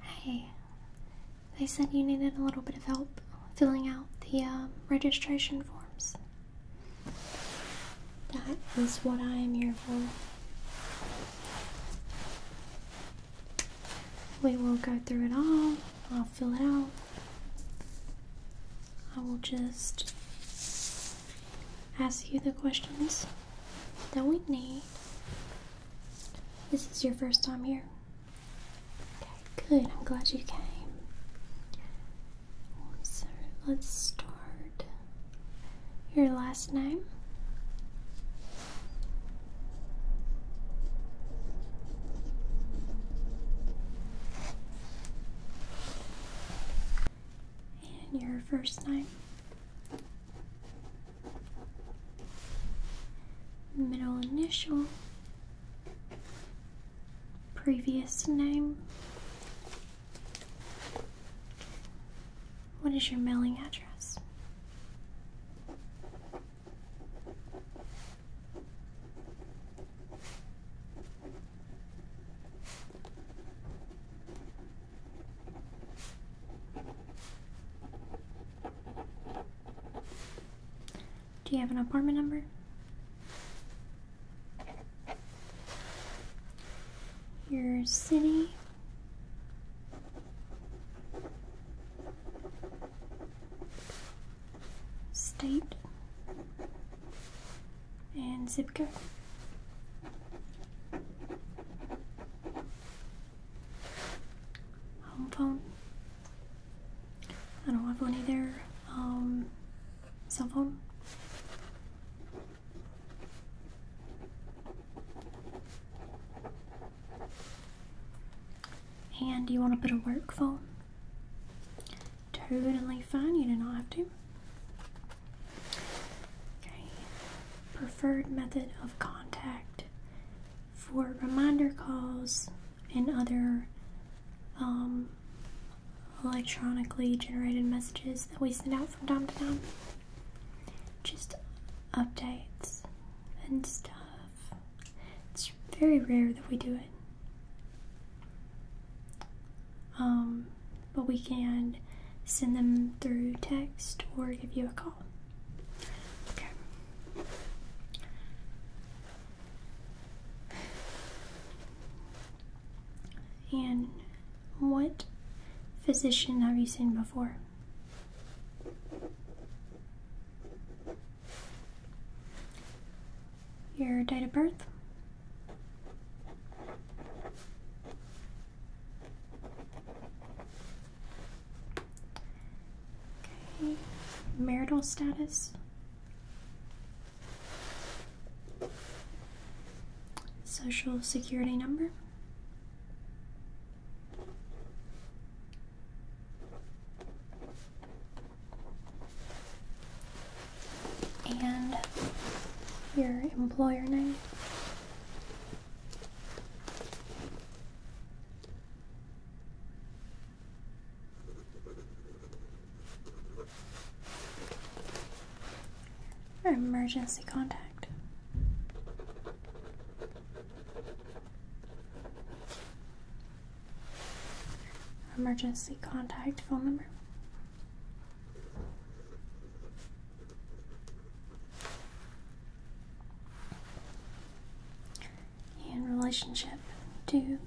Hey, they said you needed a little bit of help filling out the um, registration forms. That is what I am here for. We will go through it all. I'll fill it out. I will just ask you the questions that we need this is your first time here? Okay, good. I'm glad you came. So let's start. Your last name? And your first name? middle initial, previous name. What is your mailing address? Do you have an apartment number? Your city? State? And zip code? home phone. I don't have one either. Um, cell phone. And do you want to put a work phone? Totally fine, you do not have to. Okay, preferred method of contact for reminder calls and other um, electronically generated messages that we send out from time to time. Just updates and stuff. It's very rare that we do it. Um, but we can send them through text or give you a call. And what physician have you seen before? Your date of birth? Okay. Marital status. Social security number. And your employer name. Emergency contact. Emergency contact phone number in relationship to you.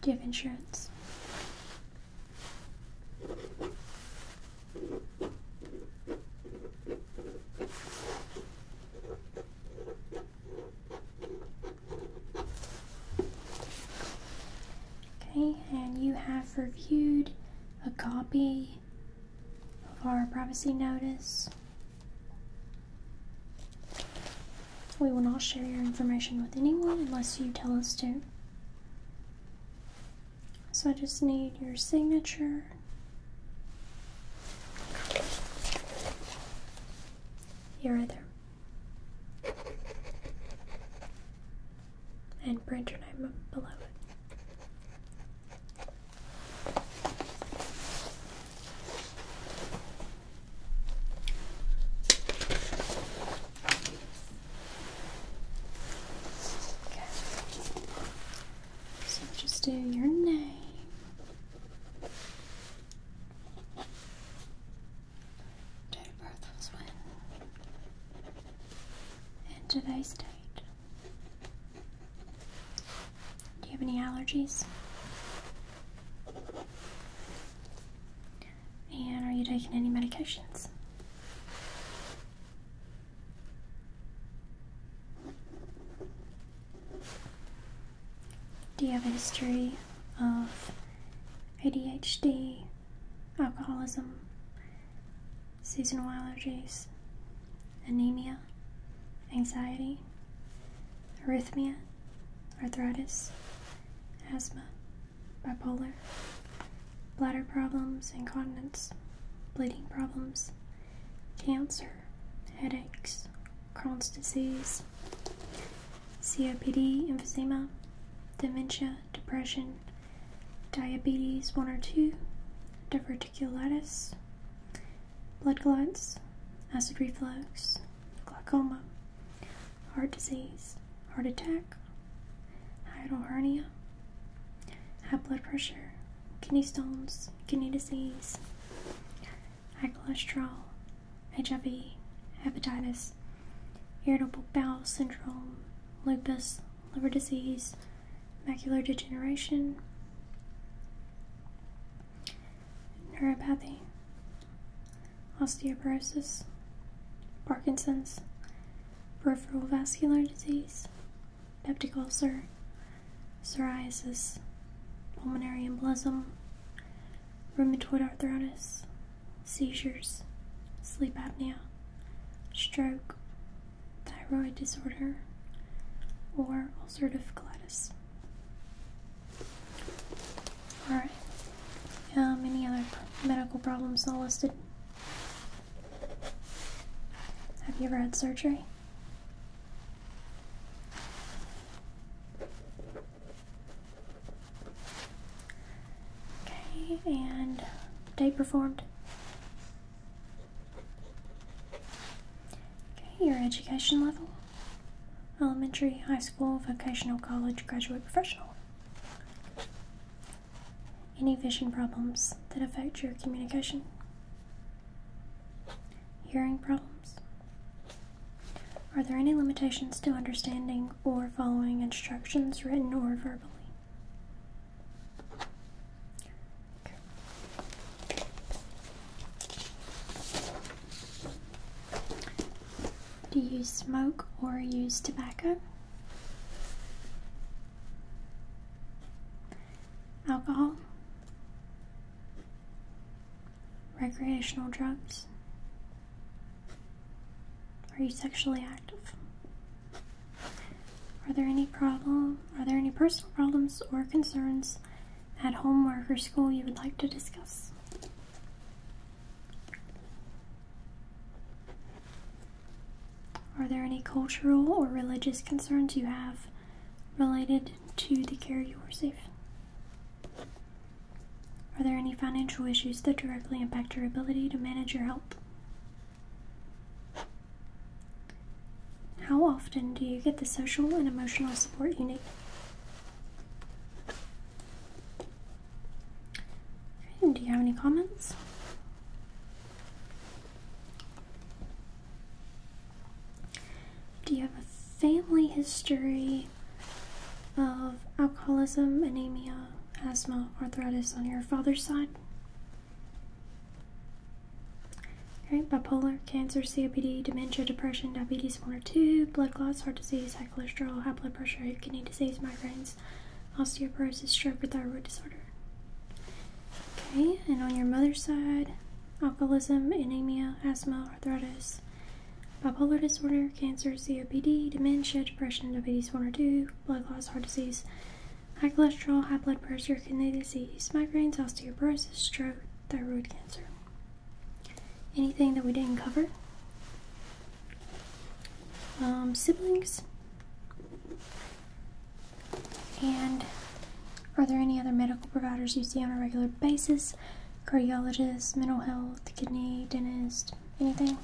Do you have insurance? Okay, and you have reviewed a copy of our privacy notice. We will not share your information with anyone unless you tell us to. So I just need your signature. here, are there. And print your name below it. Okay. So just do your name. Date of birth was when? And today's date. Do you have any allergies? And are you taking any medications? Do you have a history of ADHD, alcoholism, seasonal allergies, anemia, anxiety, arrhythmia, arthritis, asthma, bipolar? bladder problems, incontinence, bleeding problems, cancer, headaches, Crohn's disease, COPD, emphysema, dementia, depression, diabetes 1 or 2, diverticulitis, blood clots, acid reflux, glaucoma, heart disease, heart attack, hiatal hernia, high blood pressure, kidney stones, kidney disease, high cholesterol, HIV, hepatitis, irritable bowel syndrome, lupus, liver disease, macular degeneration, neuropathy, osteoporosis, Parkinson's, peripheral vascular disease, peptic ulcer, psoriasis, pulmonary embolism, rheumatoid arthritis, seizures, sleep apnea, stroke, thyroid disorder, or ulcerative colitis. Alright, um, any other medical problems all listed? Have you ever had surgery? Okay, and day performed. Okay, your education level elementary, high school, vocational, college, graduate, professional any vision problems that affect your communication, hearing problems. Are there any limitations to understanding or following instructions written or verbally? Do you smoke or use tobacco? alcohol, recreational drugs. Are you sexually active? Are there any problem? Are there any personal problems or concerns at home, work, or school you would like to discuss? Are there any cultural or religious concerns you have related to the care you receive? Are there any financial issues that directly impact your ability to manage your health? How often do you get the social and emotional support you need? do you have any comments? Do you have a family history of alcoholism, anemia, asthma, arthritis on your father's side? Okay, bipolar, cancer, COPD, dementia, depression, diabetes 1 or 2, blood clots, heart disease, high cholesterol, high blood pressure, kidney disease, migraines, osteoporosis, stroke, thyroid disorder. Okay, and on your mother's side, alcoholism, anemia, asthma, arthritis, bipolar disorder, cancer, COPD, dementia, depression, diabetes 1 or 2, blood loss, heart disease, high cholesterol, high blood pressure, kidney disease, migraines, osteoporosis, stroke, thyroid cancer. Anything that we didn't cover? Um, siblings? And are there any other medical providers you see on a regular basis? Cardiologist, mental health, kidney, dentist, anything?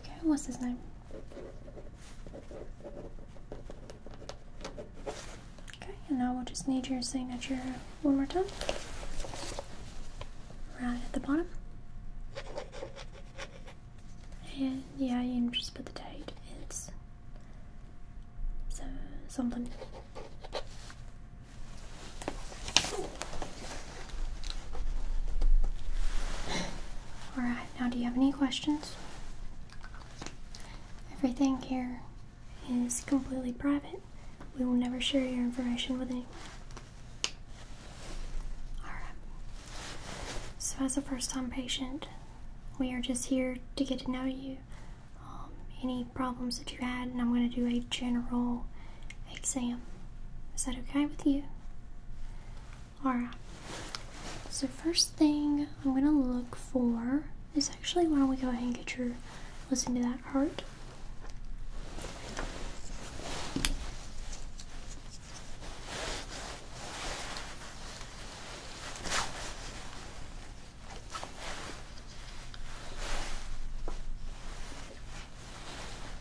Okay, what's his name? Okay, and now we'll just need your signature one more time. Right at the bottom. And yeah, you just put the date. It's so something. Alright, now do you have any questions? Everything here is completely private. We will never share your information with anyone. Alright. So, as a first time patient, we are just here to get to know you. Um, any problems that you had, and I'm going to do a general exam. Is that okay with you? Alright. So, first thing I'm going to look for is actually why don't we go ahead and get your listen to that heart.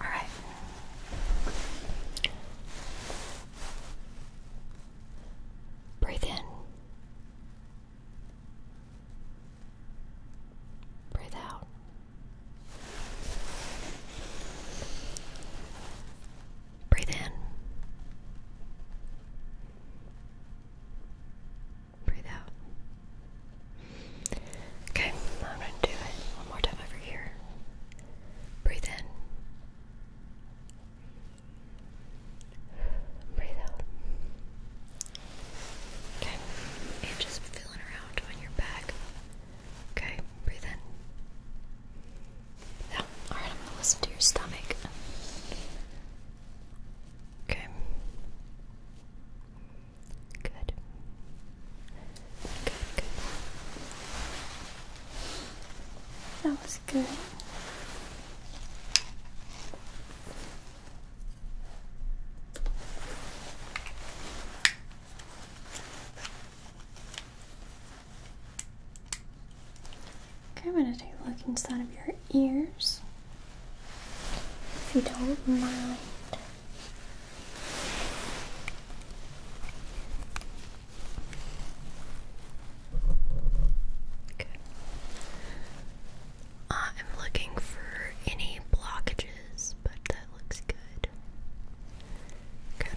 All right. Breathe in. Breathe out. Breathe in. Breathe out. Okay, I'm going to do it one more time over here. Breathe in. Breathe out. Okay, and just feeling around on your back. Okay, breathe in. Yeah, alright, I'm gonna listen to your stomach. Okay. Good. Good, good. That was good. I'm going to take a look inside of your ears. If you don't mind. Uh, I'm looking for any blockages, but that looks good. Good.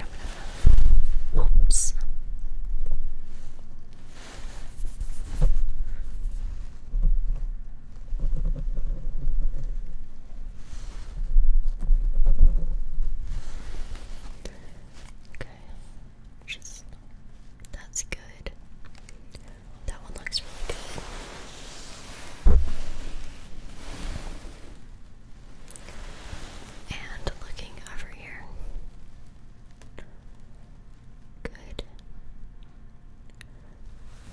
Okay. Just that's good. That one looks really good. And looking over here. Good.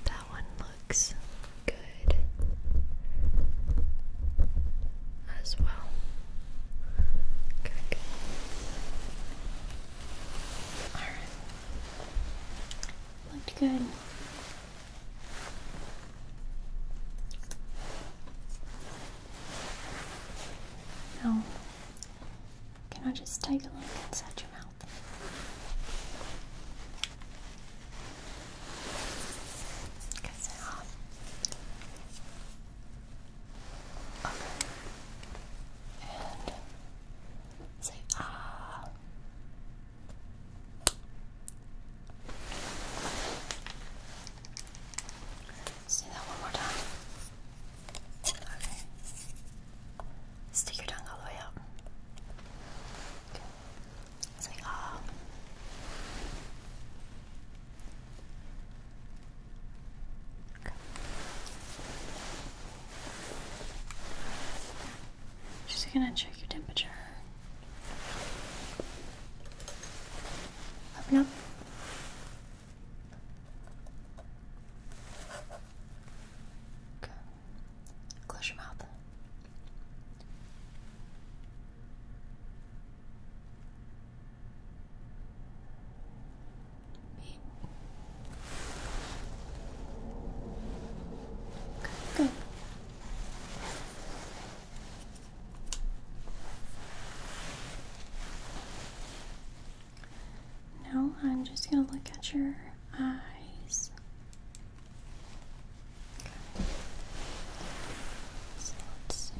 That one looks good as well. Good, All right. Looked good. Now, can I just take a look inside your mouth? Because they are. Okay. And say ah. Uh, Say that one more time. Okay. Stick your tongue all the way out. Okay. Say ah. Okay. She's gonna check your temperature. Open up. Good. Close your mouth. Good. Now I'm just going to look at your eyes. let's see.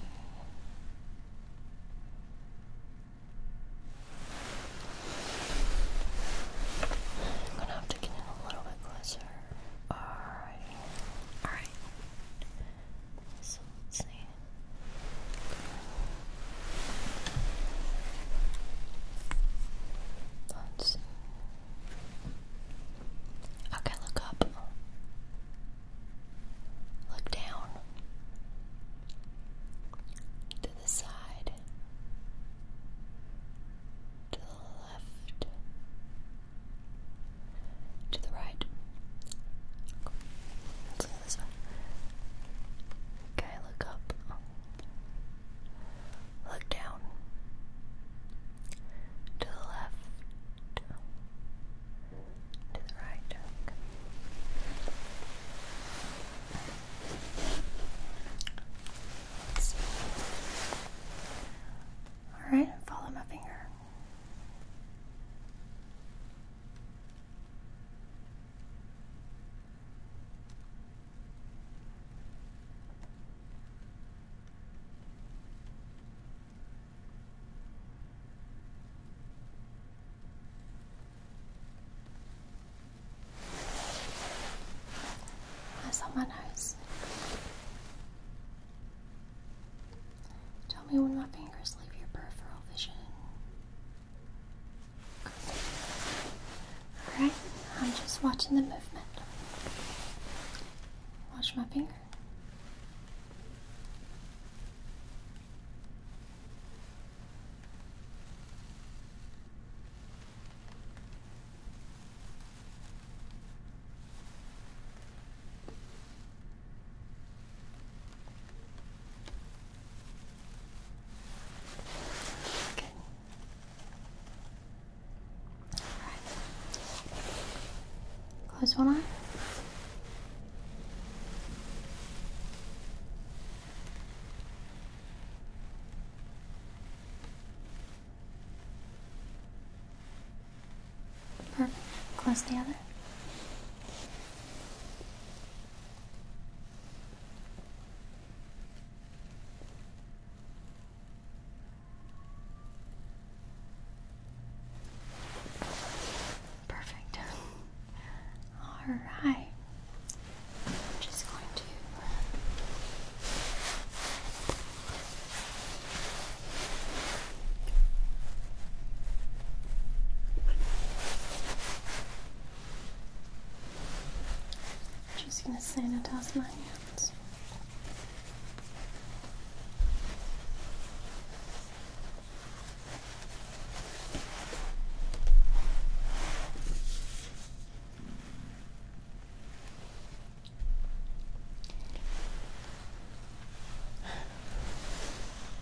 I'm going to have to get in a little bit closer. Alrighty. Alright. So let's see. Let's see. Okay, look up. Look down. To the side to the left, to the right. Okay, look up. Look down. To the left. To the right. Okay right, follow my finger. As my nose. Tell me when my fingers leave your peripheral vision. Alright, I'm just watching the movement. Watch my finger. Close one eye. Perfect. Close the other. Perfect. All right. I'm just going to I'm uh, just going to sanitize my hands.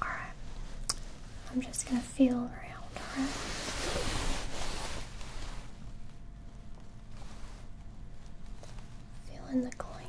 Alright, I'm just going to feel around, alright? Feeling the gland.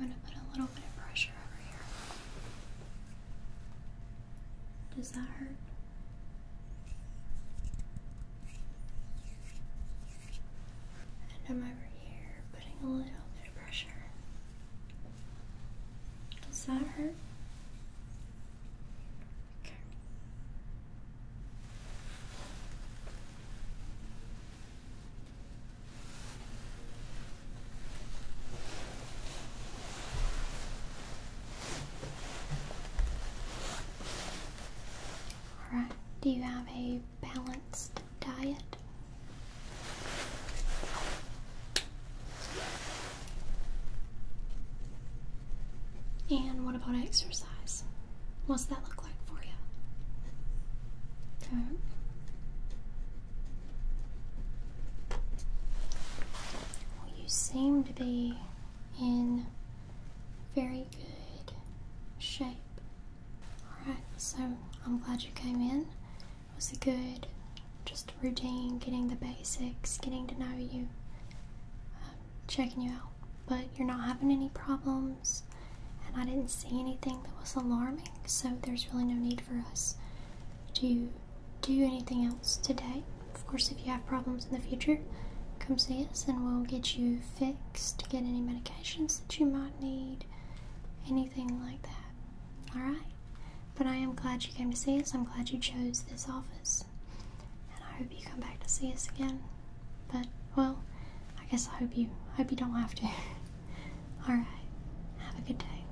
I'm going to put a little bit of pressure over here. Does that hurt? I'm over here putting a little bit of pressure. Does that hurt? Okay. Alright, do you have a balanced diet? And what about exercise? What's that look like for you? Right. Hmm you seem to be in very good shape. Alright, so I'm glad you came in. was a good, just routine, getting the basics, getting to know you, um, checking you out. But you're not having any problems, and I didn't see anything that was alarming, so there's really no need for us to do anything else today. Of course, if you have problems in the future, come see us and we'll get you fixed, get any medications that you might need, anything like that. Alright? But I am glad you came to see us. I'm glad you chose this office. And I hope you come back to see us again. But, well, I guess I hope you, hope you don't have to. Alright. Have a good day.